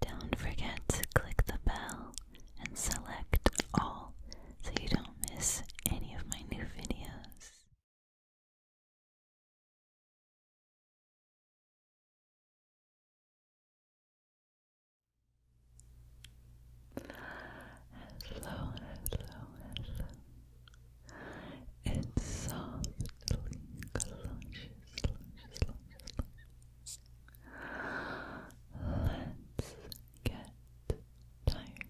Don't forget to click the bell and select all so you don't miss any of my new videos. Hello, hello, hello. It's softly, luscious, Let's get tired.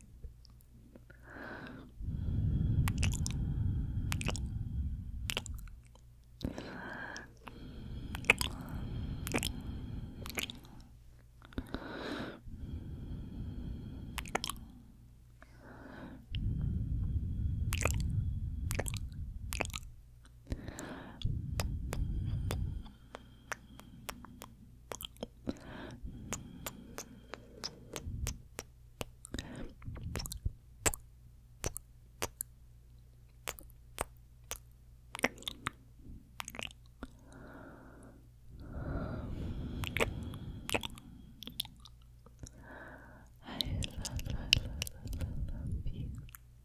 I love, love, love, love, love you. I love, love,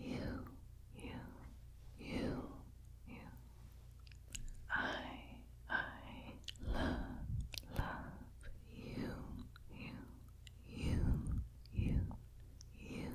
you, you, you, you. I, I love, love you, you, you, you, you, you.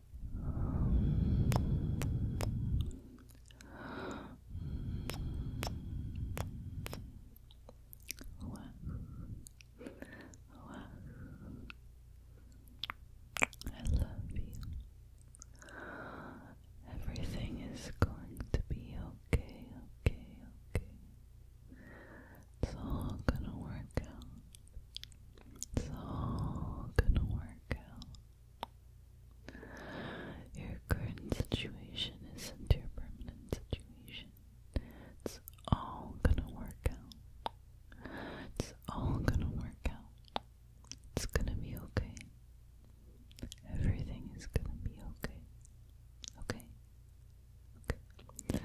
I love you. Everything is going to be okay, okay, okay. It's all gonna work out. It's all gonna work out. Your current situation isn't your permanent situation. It's all gonna work out. It's all gonna work out. It's gonna be okay. Everything is gonna be okay. Okay? Okay.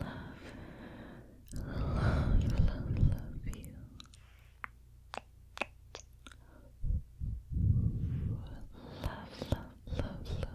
love, love, love, love you. Love, love, love, love, love you. Love,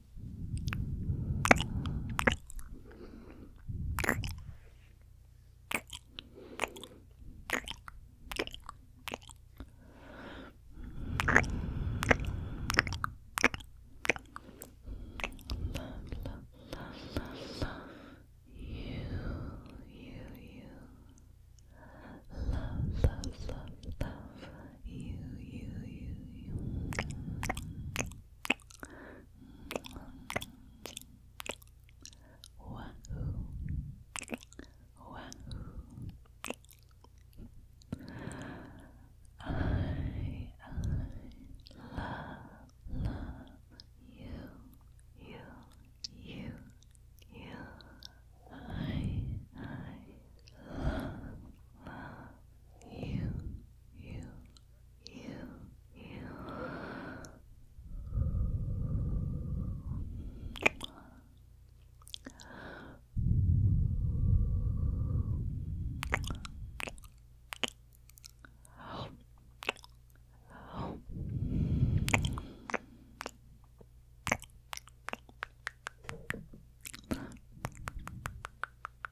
You, you, you. Love, love, love, love. You, you, you, you. Wahoo. Wahoo. I, I love, love you, you, you, you. I, I love, love you, you, you, you.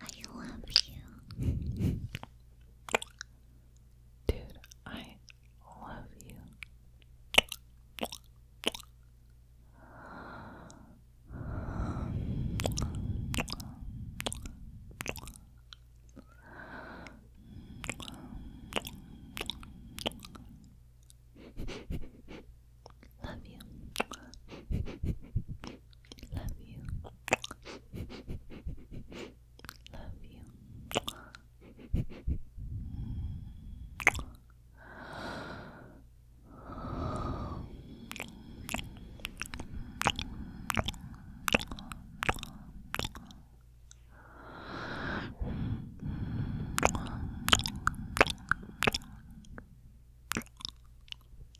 I love you. Dude, I love you. Love you. Love you. Love you.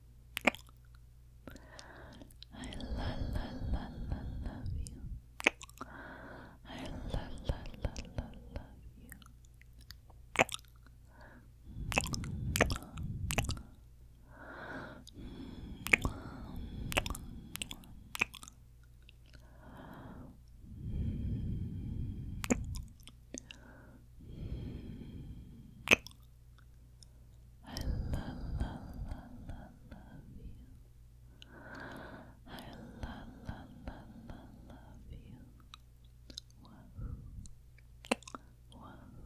I la love you. I la you. I la you. I la la la la love you. Wahoo.